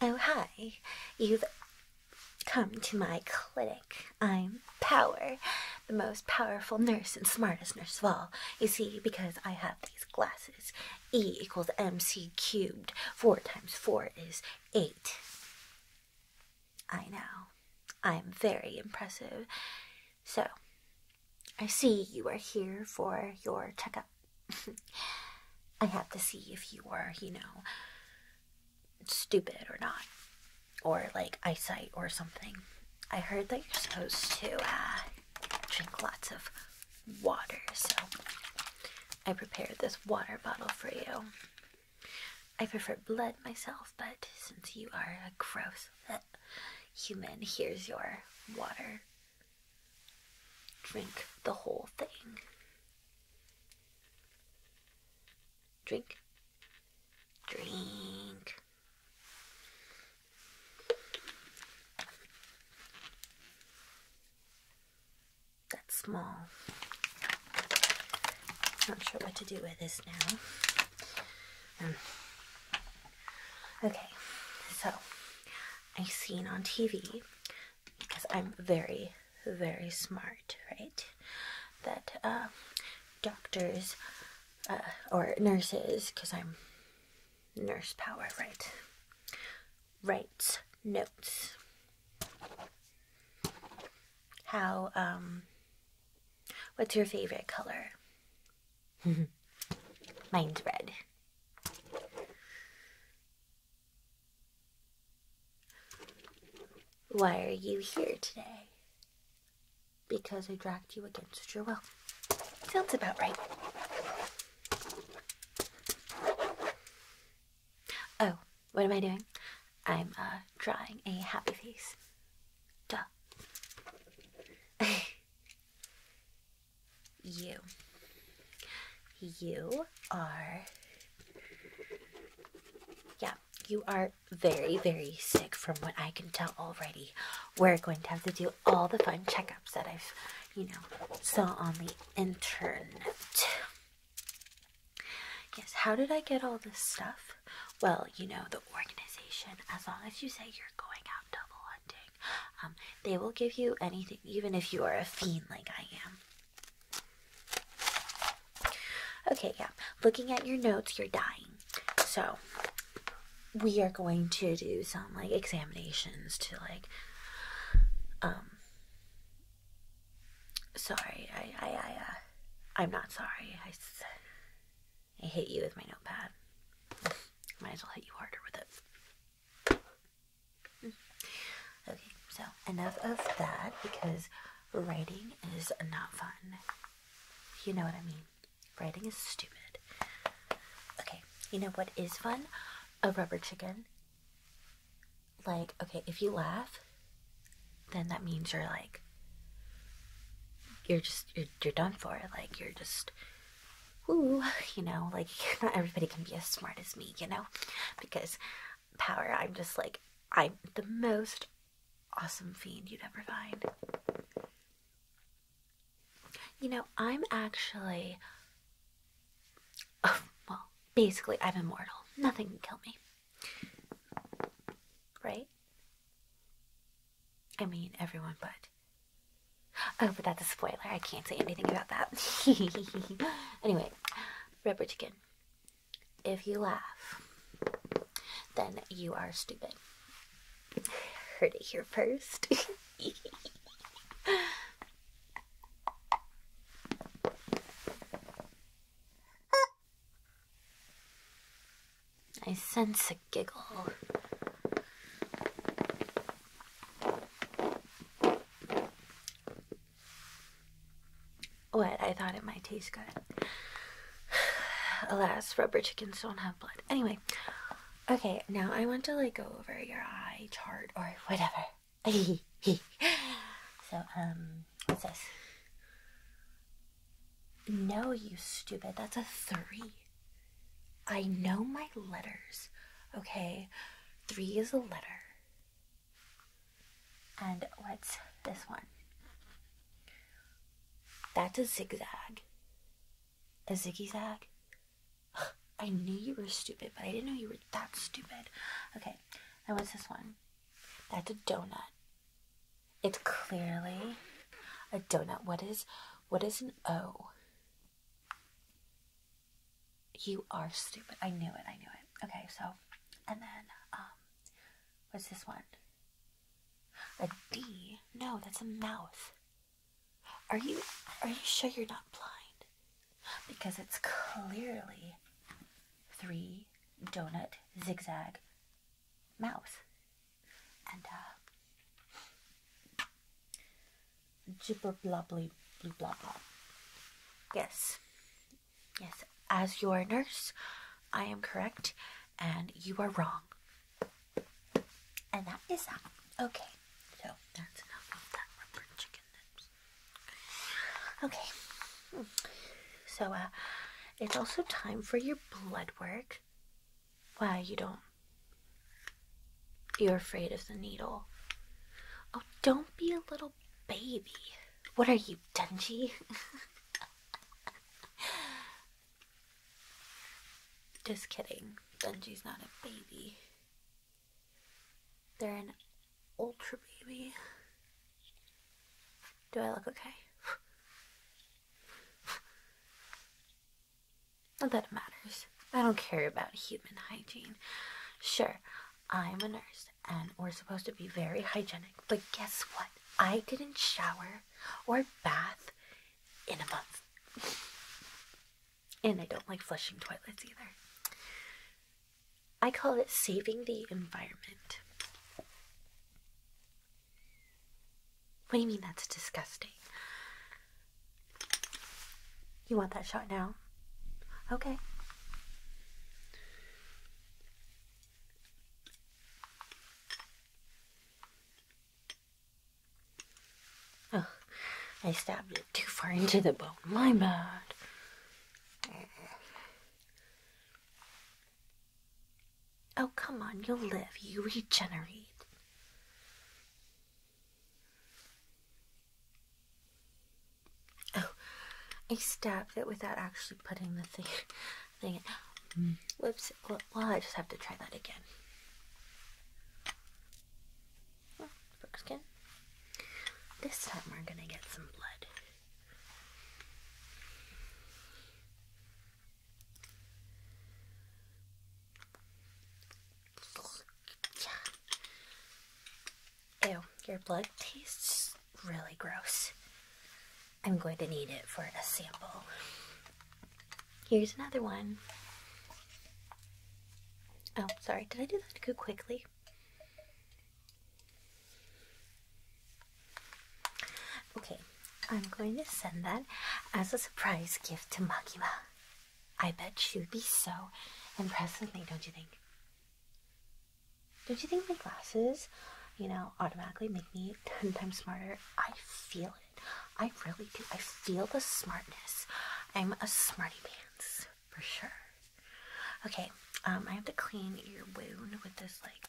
Oh, hi. You've come to my clinic. I'm Power, the most powerful nurse and smartest nurse of all. You see, because I have these glasses, E equals MC cubed. Four times four is eight. I know. I'm very impressive. So, I see you are here for your checkup. I have to see if you are, you know, stupid or not, or like eyesight or something. I heard that you're supposed to uh, drink lots of water, so I prepared this water bottle for you. I prefer blood myself, but since you are a gross human, here's your water. Drink the whole thing. Drink. Drink. That's small. Not sure what to do with this now. Um, okay, so I've seen on TV because I'm very, very smart, right? That uh, doctors uh, or nurses, because I'm nurse power, right? Writes notes. How, um, what's your favorite color? Mine's red. Why are you here today? Because I dragged you against your will. Sounds about right. Oh, what am I doing? I'm uh, drawing a happy face. Duh. you you are. Yeah, you are very, very sick from what I can tell already. We're going to have to do all the fun checkups that I've, you know, saw on the internet. Yes, how did I get all this stuff? Well, you know, the organization, as long as you say you're going out double hunting, um, they will give you anything, even if you are a fiend like I am. Okay, yeah. Looking at your notes, you're dying. So, we are going to do some like examinations to like um sorry, I I I uh, I'm not sorry. I I hit you with my notepad. Might as well hit you harder with it. Mm. Okay, so enough of that because writing is not fun. You know what I mean? Writing is stupid. Okay, you know what is fun? A rubber chicken. Like, okay, if you laugh, then that means you're like, you're just, you're, done for. Like, you're just, woo, you know, like, not everybody can be as smart as me, you know? Because power. I'm just like, I'm the most awesome fiend you'd ever find. You know, I'm actually. Oh, well, basically, I'm immortal. Nothing can kill me. Right? I mean, everyone but. Oh, but that's a spoiler. I can't say anything about that. anyway, rubber chicken. If you laugh, then you are stupid. Heard it here first. I sense a giggle. What? I thought it might taste good. Alas, rubber chickens don't have blood. Anyway, okay, now I want to like go over your eye chart or whatever. so, um, what's this? No, you stupid. That's a three. I know my letters. Okay, three is a letter. And what's this one? That's a zigzag. A zigzag. I knew you were stupid, but I didn't know you were that stupid. Okay, and what's this one? That's a donut. It's clearly a donut. What is what is an O? You are stupid. I knew it. I knew it. Okay, so, and then, um, what's this one? A D? No, that's a mouth. Are you, are you sure you're not blind? Because it's clearly three donut zigzag mouth. And, uh, gibber blobbly blue blah blah. Yes. Yes, as your nurse, I am correct and you are wrong. And that is that. Okay. So that's enough of that rubber chicken lips. Okay. So uh, it's also time for your blood work. Why you don't you're afraid of the needle. Oh, don't be a little baby. What are you, Dungy? Just kidding. Dungy's not a baby. They're an ultra baby. Do I look okay? Not that it matters. I don't care about human hygiene. Sure, I'm a nurse and we're supposed to be very hygienic. But guess what? I didn't shower or bath in a month. And I don't like flushing toilets either. I call it saving the environment. What do you mean that's disgusting? You want that shot now? Okay. Oh, I stabbed it too far into the bone. My bad. Oh, come on, you'll live. You regenerate. Oh, I stabbed it without actually putting the thing. thing mm. Whoops. Well, I just have to try that again. Oh, This time we're gonna get some blood. Ew, your blood tastes really gross. I'm going to need it for a sample. Here's another one. Oh, sorry, did I do that too quickly? Okay, I'm going to send that as a surprise gift to Makima. I bet she would be so impressed with me, don't you think? Don't you think my glasses, you know, automatically make me 10 times smarter? I feel it. I really do. I feel the smartness. I'm a smarty pants for sure. Okay, um, I have to clean your wound with this like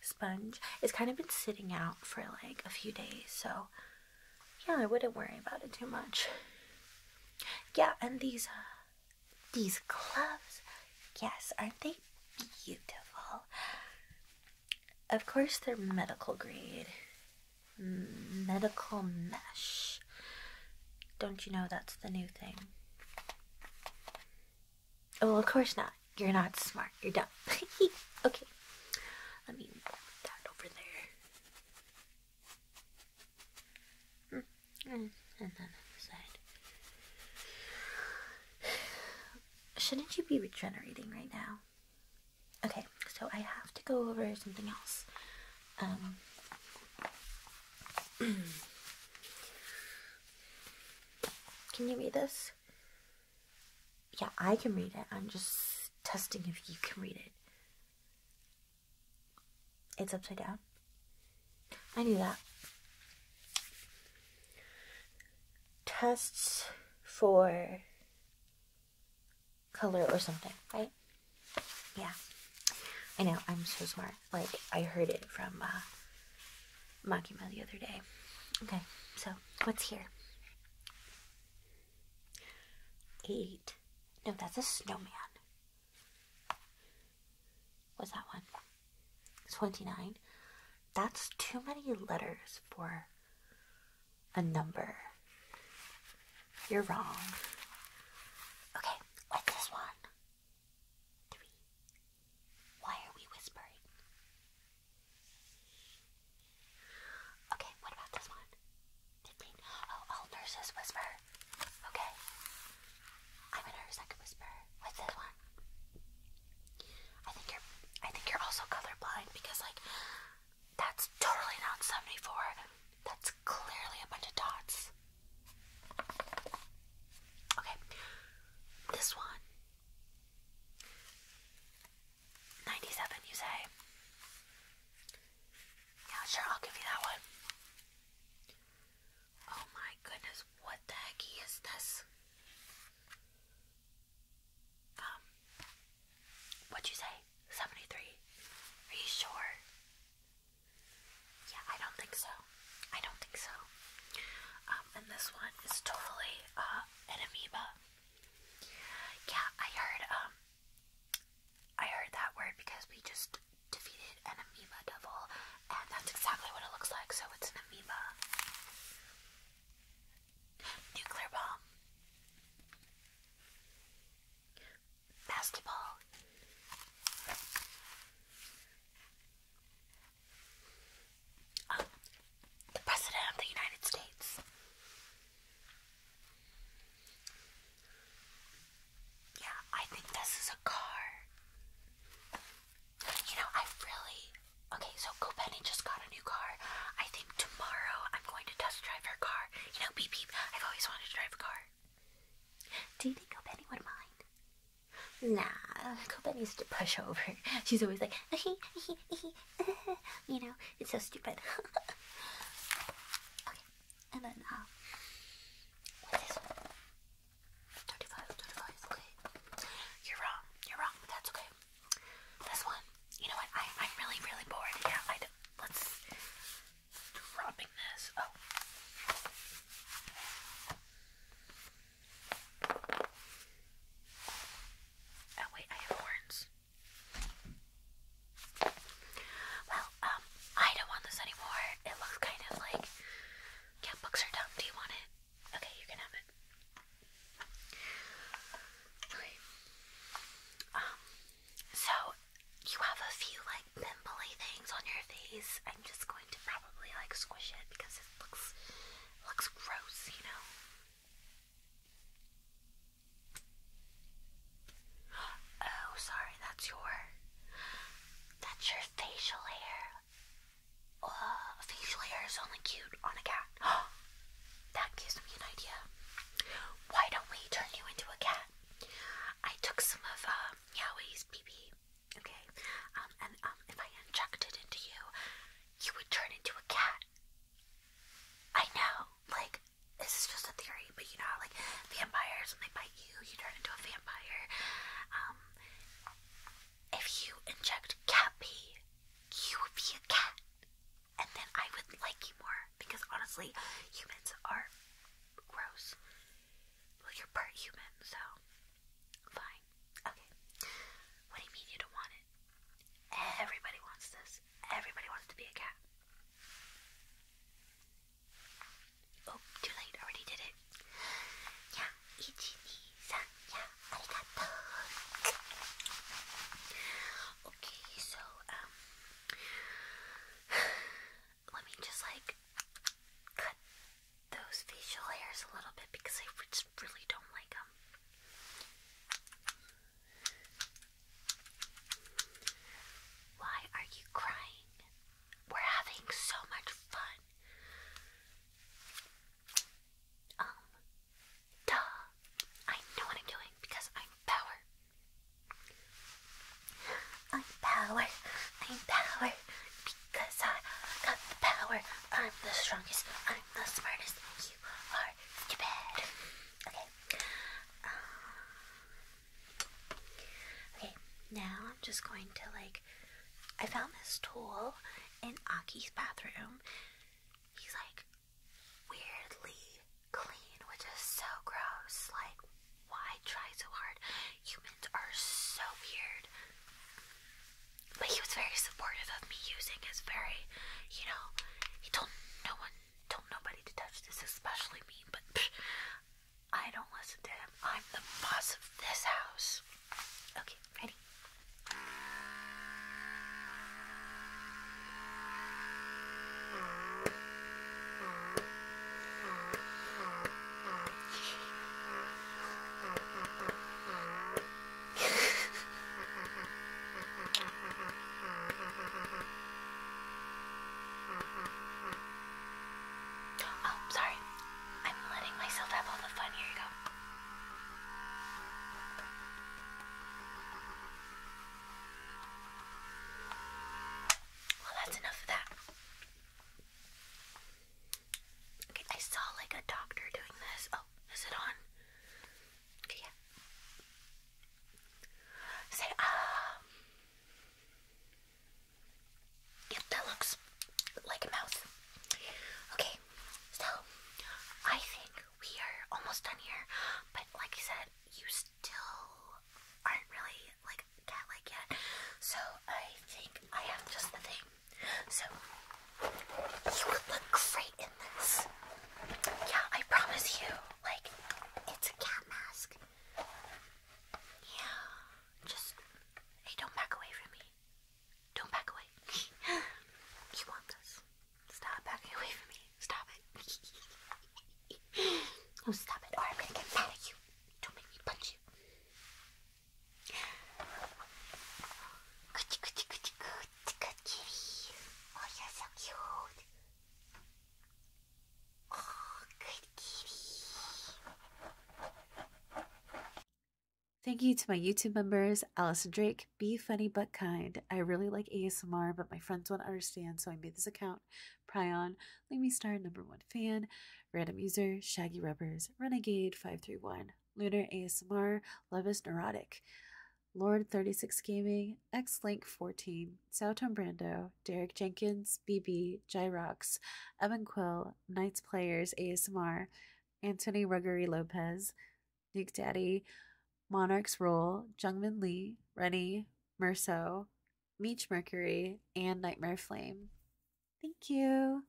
sponge. It's kind of been sitting out for like a few days, so yeah, I wouldn't worry about it too much. Yeah, and these uh, these gloves, yes, aren't they beautiful? Of course, they're medical grade. Medical mesh. Don't you know that's the new thing? Oh, well, of course not. You're not smart. You're dumb. okay. Let me put that over there. And then the side. Shouldn't you be regenerating right now? Okay, so I have to go over something else. Um, can you read this? Yeah, I can read it. I'm just testing if you can read it. It's upside down. I knew that. Tests for color or something, right? Yeah. I know, I'm so smart. Like, I heard it from uh, Makima the other day. Okay, so what's here? Eight. No, that's a snowman. What's that one? 29. That's too many letters for a number. You're wrong. Okay, what's this one? Why are we whispering? Okay, what about this one? to Oh, all nurses whisper. Okay. I'm a nurse. I can whisper with this one. I think you're. I think you're also colorblind because like that's totally not seventy four. That's clearly a bunch of dots. Okay. This one. 97, you say? Yeah, sure, I'll give you that one. Oh my goodness, what the heck is this? Um, what'd you say? 73? Are you sure? Yeah, I don't think so. I don't think so. Um, and this one is totally, uh, an amoeba. Yeah, I heard, um, I heard that word because we just defeated an amoeba devil, and that's exactly what it looks like, so it's an amoeba. Nuclear bomb. Basketball. Um, the President of the United States. Yeah, I think this is a car. You know, I really. Okay, so Copenny just got a new car. I think tomorrow I'm going to test drive her car. You know, beep beep. I've always wanted to drive a car. Do you think Copenny would mind? Nah, needs to push over. She's always like, you know, it's so stupid. And then, uh, what's this one? okay. You're wrong, you're wrong, that's okay. This one, you know what? I, I'm really, really bored. Yeah, I Let's. Dropping this. Oh. oh, wait, I have horns. Well, um, I don't want this anymore. It looks kind of like, yeah, books are dumb. Do you want it? Okay, you can have it. Um, so you have a few like pimply things on your face. I'm just going to probably like squish it because it looks looks gross, you know. Oh, sorry, that's your that's your facial hair. Uh, facial hair is only cute on a cat. that gives me an idea. Why don't we turn you into a cat? I took some of um, Yahweh's BB, okay, um, and um, if I injected it into you, you would turn into a cat. I know, like this is just a theory, but you know, like vampires, when they bite you, you turn into a vampire. Um, if you inject cat you would be a cat, and then I would like you more because honestly, humans are gross. Well, you're part human, so fine. Okay, what do you mean you don't want it? Everybody wants this. Everybody wants to be a cat. Oh, too late, already did it. Yeah, ichinisan, yeah, arigato. Okay, so, um, let me just like cut those facial hairs a little bit because I just really don't like them. Why are you crying? We're having so much fun. Um, duh. I know what I'm doing because I'm power. I'm power. I'm power. Because I got the power. I'm the strongest. I'm the smartest. You are stupid. Okay. Um, Okay, now I'm just going to like. I found this tool in Aki's bathroom. He's like weirdly clean, which is so gross. Like, why try so hard? Humans are so weird. But he was very supportive of me using his very, you know, he told no one, told nobody to touch this, especially me, but psh, I don't listen to him. I'm the boss of this house. Okay, ready? Oh, sorry. I'm letting myself have all the fun. Here you go. Well, that's enough of that. Okay, I saw like a doctor doing this. Oh, is it on? Okay, yeah. Say ah. Yeah, that looks like a mouse. Okay, so I think we are almost done here, but like I said, you still aren't really like cat like yet. So I think I have just the thing. So you would look great in this. Yeah, I promise you. Like, it's a cat mask. Yeah, just hey, don't back away from me. Don't back away. you want this? Stop backing away from me. Stop it. oh, stop it, or I'm gonna get mad at you. Don't make me punch you. Good, good, Oh, you're so cute. Thank you to my YouTube members, Allison Drake, Be Funny But Kind. I really like ASMR, but my friends will not understand, so I made this account. Prion, Lamy Star, number one fan, random user, Shaggy Rubbers, Renegade531, Lunar ASMR, Love is Neurotic, Lord36Gaming, Xlink14, Green, Southon Brando, Derek Jenkins, BB, Jai Rocks, Evan Quill, Knights Players, ASMR, Anthony Ruggery Lopez, Nick Daddy, Monarchs Roll, Jungman Lee, Rennie, Merceau, Meech Mercury, and Nightmare Flame. Thank you.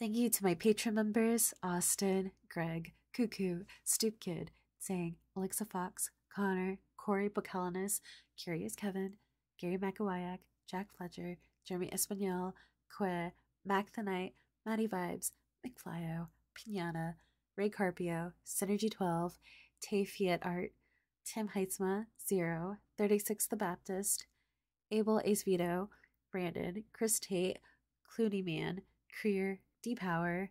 Thank you to my patron members Austin, Greg, Cuckoo, Stoop Kid, Sang, Alexa Fox, Connor, Corey Bocalinas, Curious Kevin, Gary McAwayak, Jack Fletcher, Jeremy Espanol, Que, Mac the Knight, Maddie Vibes, McFlyo, Pinata, Ray Carpio, Synergy12, Tay Fiat Art, Tim Heitzma, Zero, 36 The Baptist, Abel Ace Brandon, Chris Tate, Clooney Man, Creer, D Power,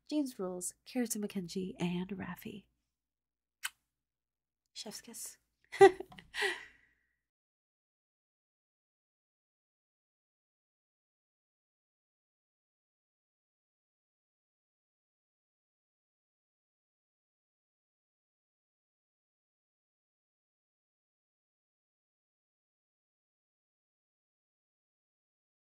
Jeans Rules, Carrots McKenzie, and Rafi. Chef's